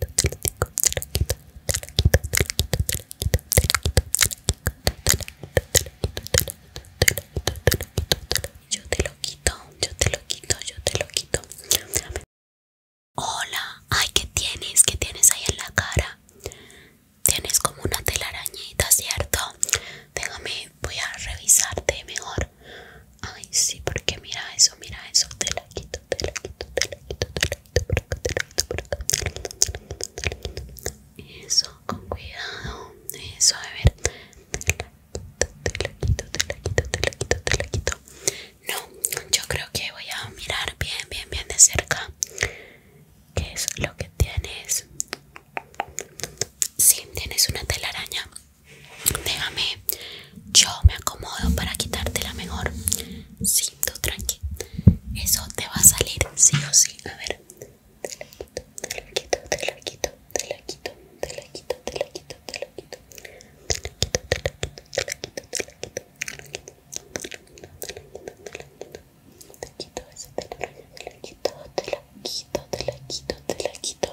Yo te lo quito, yo te lo quito, yo te lo quito. Hola, ay, ¿qué tienes? ¿Qué tienes ahí en la cara? Tienes como una telarañita, ¿cierto? Déjame, voy a revisarte mejor. Ay, sí, porque mira eso, mira eso, te la quito te la quito, te la quito, te la quito acá, te la quito Eso, con cuidado. Eso, a ver. Te la, quito, te la quito, te la quito, te quito. No, yo creo que voy a mirar bien, bien, bien de cerca. ¿Qué es lo que tienes? si tienes una telaraña. Déjame yo me acomodo para quitarte la mejor. siento tú tranqui. Eso te va a salir sí o sí. A ver. Te la quito, te la quito, te la quito, te la quito, te la quito, te la quito, te la quito. Te la quito, te la quito, te la quito,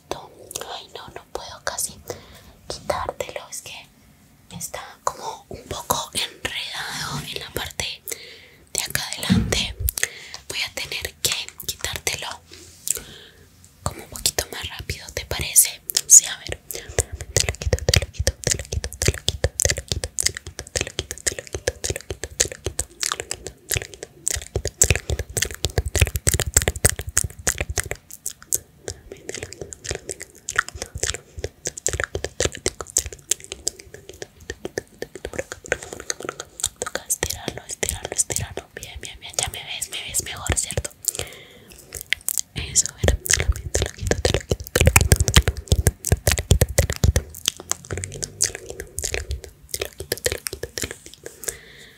Ay, no, no puedo casi quitártelo. Es que está como un poco enredado en la parte de acá adelante. Voy a tener que quitártelo como un poquito más rápido, ¿te parece? Sí, a ver. Te lo quito, te lo quito, te lo quito, te lo quito, te lo quito, te lo quito, te lo quito, te lo quito, te lo quito, te lo quito, Toca Bien, bien, Ya me ves, me ves mejor, ¿cierto? Eso, te lo quito, te te lo quito, te te lo quito, te lo quito, te lo quito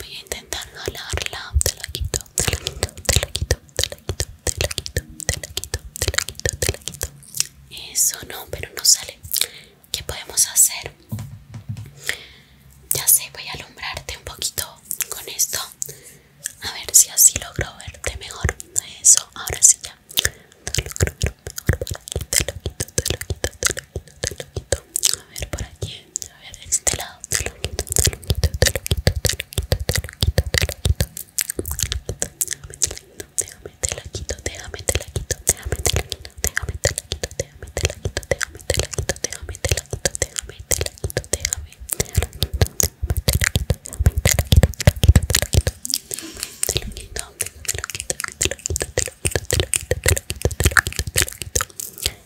Voy a intentar no lavarla, te la quito, te la quito, te la quito, te la quito, te la quito, te la quito, te la quito, te la quito. Eso no, pero no sale. ¿Qué podemos hacer? Ya sé, voy a alumbrarte un poquito con esto. A ver si así logro verte mejor. Eso, ahora sí ya. Te lo Te lo quito, te lo quito, te lo te lo quito. A ver, por aquí. A ver, este lado. Te lo quito, te lo quito, te lo quito, te lo quito, te lo quito, te lo quito. te quito, te la quito, te quito, te la quito, te quito, te la quito, te quito, te la quito, te quito, te la quito, te quito, te la quito, te quito, te la quito, te quito, te la quito, te quito, te la quito, te quito, te la quito, te quito, te la quito, te la quito, te la quito, te la quito, te la quito, te la quito, te la quito, te la quito, te la quito, te la quito, te la quito, te la quito,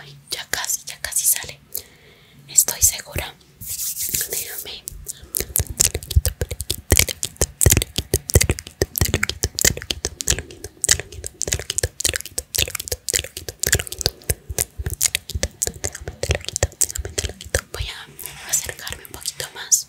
Ay, ya casi, ya casi sale. Estoy segura. Déjame. Voy a acercarme un poquito más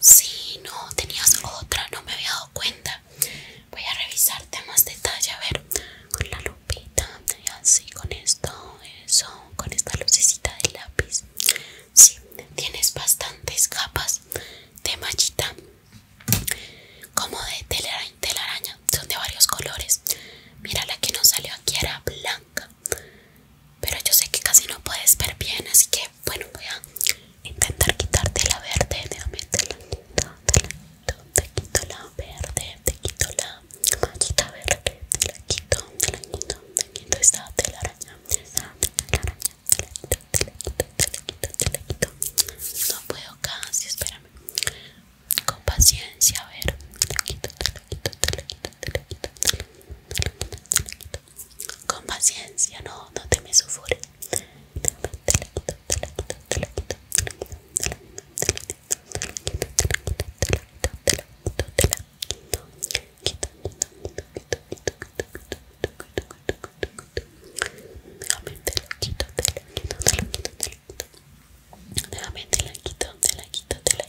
Sí, no, tenías otra, no me había dado cuenta. Voy a revisarte más detalle, a ver, con la lupita, así, con esto, eso, con esta lucecita de lápiz. Sí, tienes bastantes capas de machita como de telaraña, telaraña, son de varios colores. Mira, la que nos salió aquí era blanca. Pero yo sé que casi no puedes ver bien Así que bueno voy a intentar quitarte la verde Déjame te la quito, te la quito, te quito la verde Te quito la quita verde Te la quito, te la quito, te quito esta telaraña Esta telaraña, te la quito, te la quito, te la quito, te la quito No puedo casi, espérame con paciencia, a ver, te la te la quito, te la quito, te la quito, te la quito, con paciencia, no, no te me la Déjame te la quito, la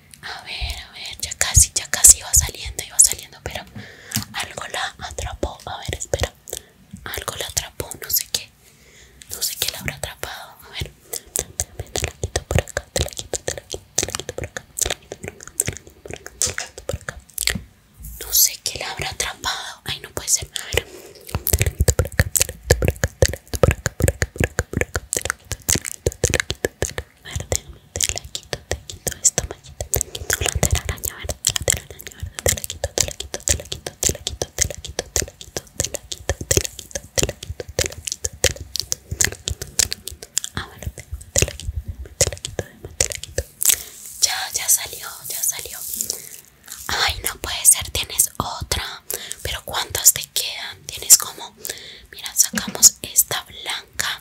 A ver, a ver, ya casi, ya casi iba saliendo, iba saliendo, pero algo la atrapó. A ver, espera. Algo la atrapó, no sé qué. No sé qué la habrá atrapado. A ver. Te la quito por acá, te la quito, te la quito, te la quito por acá, te la quito por acá, te la quito por acá, te la quito por acá. No sé qué la habrá atrapado. Ay, no puede ser. A ver. Te la quito por acá, te la quito por acá, te la quito por acá, por acá, por acá, por acá, te la quito, te la quito, te la quito, te la verde, te la quito, te quito te la te la quito, te la quito, te la quito, te la quito, te la quito, te la quito, te la quito, te la quito, te la quito, te la ya, ya salió, ya salió, ay no puede ser, tienes otra, pero cuántas te quedan, tienes como, mira, sacamos esta blanca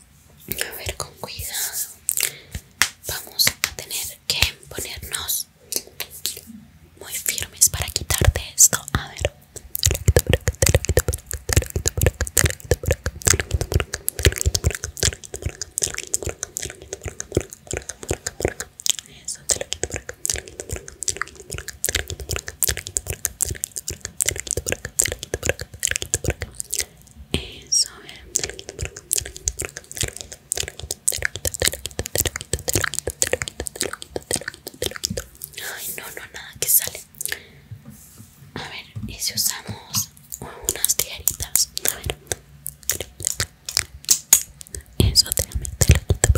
a ver, con cuidado. Vamos a tener que ponernos muy firmes para quitarte esto. A ver. Eso, a te lo quito te lo quito Ay, no, no, nada que sale. A ver, y si usamos unas tijeritas, a ver. Eso, déjame, te lo quito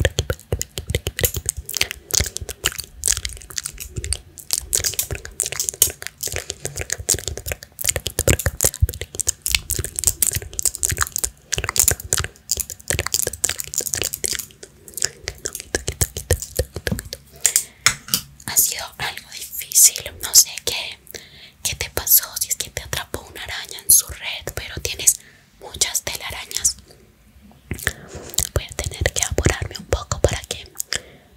ha sido algo difícil. No sé qué te pasó si es que te atrapó una araña en su red, pero tienes muchas telarañas. Voy a tener que apurarme un poco para que.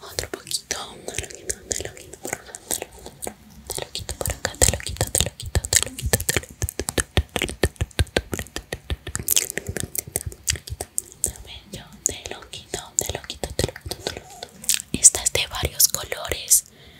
Otro poquito, te lo quito, te lo quito te de varios colores.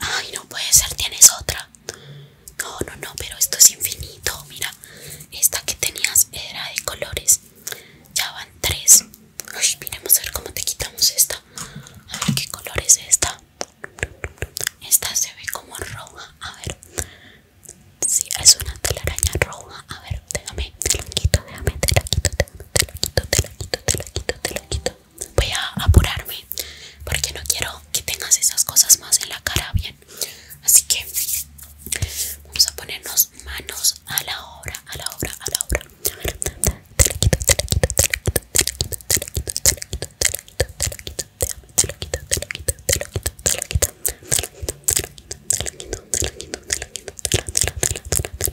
Ay, no puede ser, tienes otra. No, no, no, pero esto es infinito. Mira, esta que tenías era de colores. Ya van tres. Ay, miremos a ver cómo te quitamos esta. A ver qué color es esta. Esta se ve como roja. A ver. Sí, es una telaraña roja. A ver, déjame, te lo quito, déjame, te lo quito, te lo quito, te lo quito, te lo quito, te la quito, voy a apurarme porque no quiero que tengas esas cosas más en la cara, bien. Así que vamos a ponernos manos a la obra, a la obra, a la obra.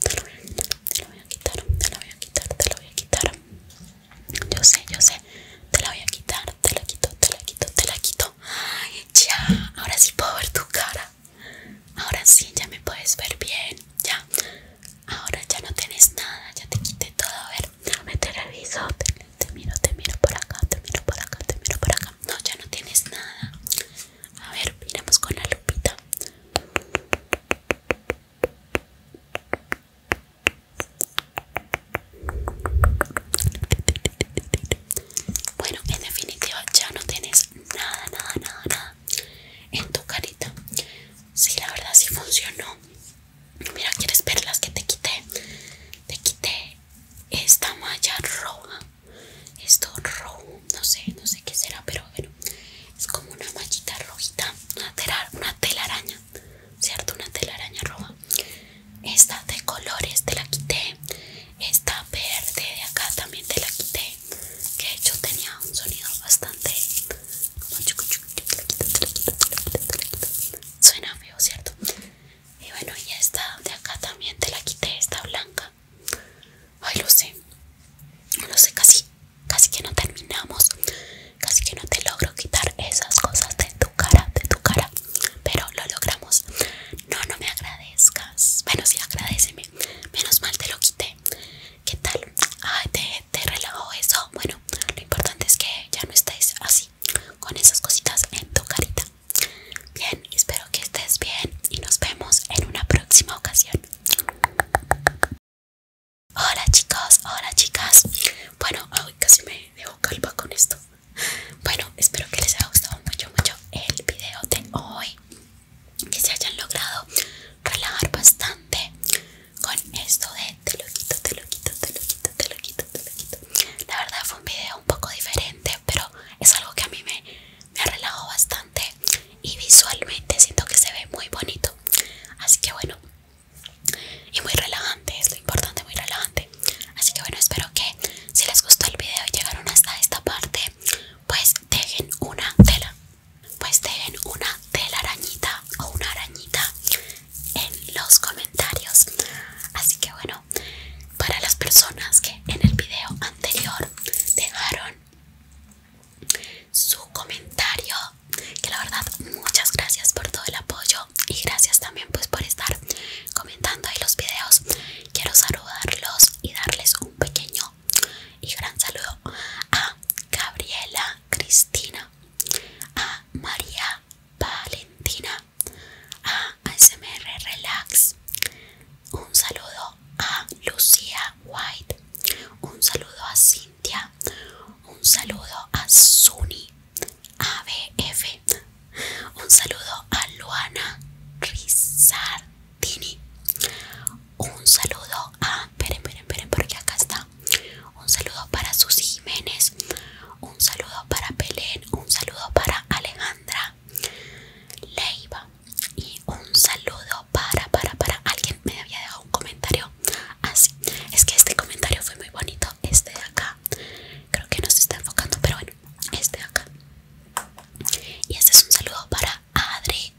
te lo voy a quitar, te lo voy a quitar, te lo voy a quitar, Yo sé, yo sé, te la voy a quitar, te la quito, te la quito, te la quito. Ay, ya, ahora sí puedo ver tu cara. Ahora sí, ya me puedes ver bien, ya. Ahora ya no tienes nada, ya te quité todo. A ver, me te reviso, te miro, te miro por acá, te miro por acá, te miro por acá. No, ya no tienes nada. A ver, miramos con la lupita. Bueno, en definitiva ya no tienes nada, nada, nada, nada en tu carita. Sí, la verdad sí funcionó. Mira, ¿quieres ver las que te quité? Te quité esta malla roja esto rojo, no sé, no sé qué será, pero bueno, es como una machita rojita, una, tela, una telaraña, ¿cierto? Una telaraña roja. Esta de colores te la quité, esta verde de acá también te la quité, que de hecho tenía un sonido bastante... Suena feo, ¿cierto? Y bueno, y esta de acá también te la quité, esta blanca. Ay, lo sé. Lo sé, casi, casi que no terminamos. Casi que no te logro quitar esas cosas de tu cara, de tu cara. Pero lo logramos. No, no me agradezcas. Bueno, sí, agradeceme. Menos mal te lo quité. ¿Qué tal? Ay, te, te relajó eso. Bueno, lo importante es que ya no estés así, con esas cositas en tu carita. Bien, espero que estés bien y nos vemos en una próxima ocasión. Hola chicos, hola chicas. Bueno, hoy casi me dejo calva con esto. Bueno, espero que les haya gustado mucho, mucho el video de hoy. Que se hayan logrado relajar bastante con esto de te lo quito, te lo quito, te lo quito, te lo quito, te lo quito. La verdad fue un video un poco diferente, pero es algo que a mí me me relajo bastante y visualmente siento que se ve muy bonito así que bueno y muy relajante es lo importante muy relajante así que bueno espero que si les gustó el video y llegaron hasta esta parte pues dejen una tela pues dejen una tela arañita o una arañita en los comentarios así que bueno para las personas que en el video anterior dejaron su comentario que la verdad muchas gracias por todo el apoyo y gracias también pues por estar comentando ahí los videos quiero saludarlos y darles un pequeño y gran saludo a Gabriela Cristina a María Valentina a ASMR Relax un saludo a Lucía White, un saludo a Cintia, un saludo a Suni ABF, un saludo a Luana Rizzardini, un saludo a, esperen, esperen, esperen porque acá está, un saludo para Susi Jiménez, un saludo para Pelén, un saludo para Alejandra Leiva y un saludo para para para alguien me había dejado un comentario así ah, es que este comentario fue muy bonito este de acá creo que no se está enfocando pero bueno este de acá y este es un saludo para Adri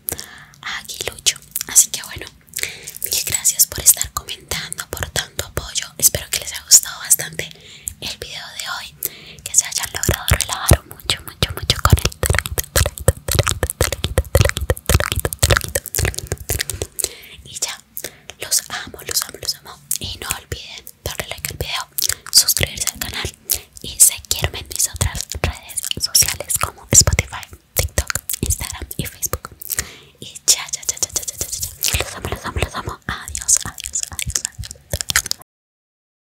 Aguilucho así que bueno mil gracias por estar comentando por tanto apoyo espero que les haya gustado bastante el video de hoy que se hayan logrado relajar un mucho, mucho, mucho con el y ya, los amo, los amo, los amo y no olviden darle like al video, suscribirse al canal y seguirme en mis otras redes sociales como Spotify, TikTok, Instagram y Facebook y ya, ya, ya, ya, ya, ya, ya, los amo, los amo, los amo, adiós, adiós, adiós, adiós.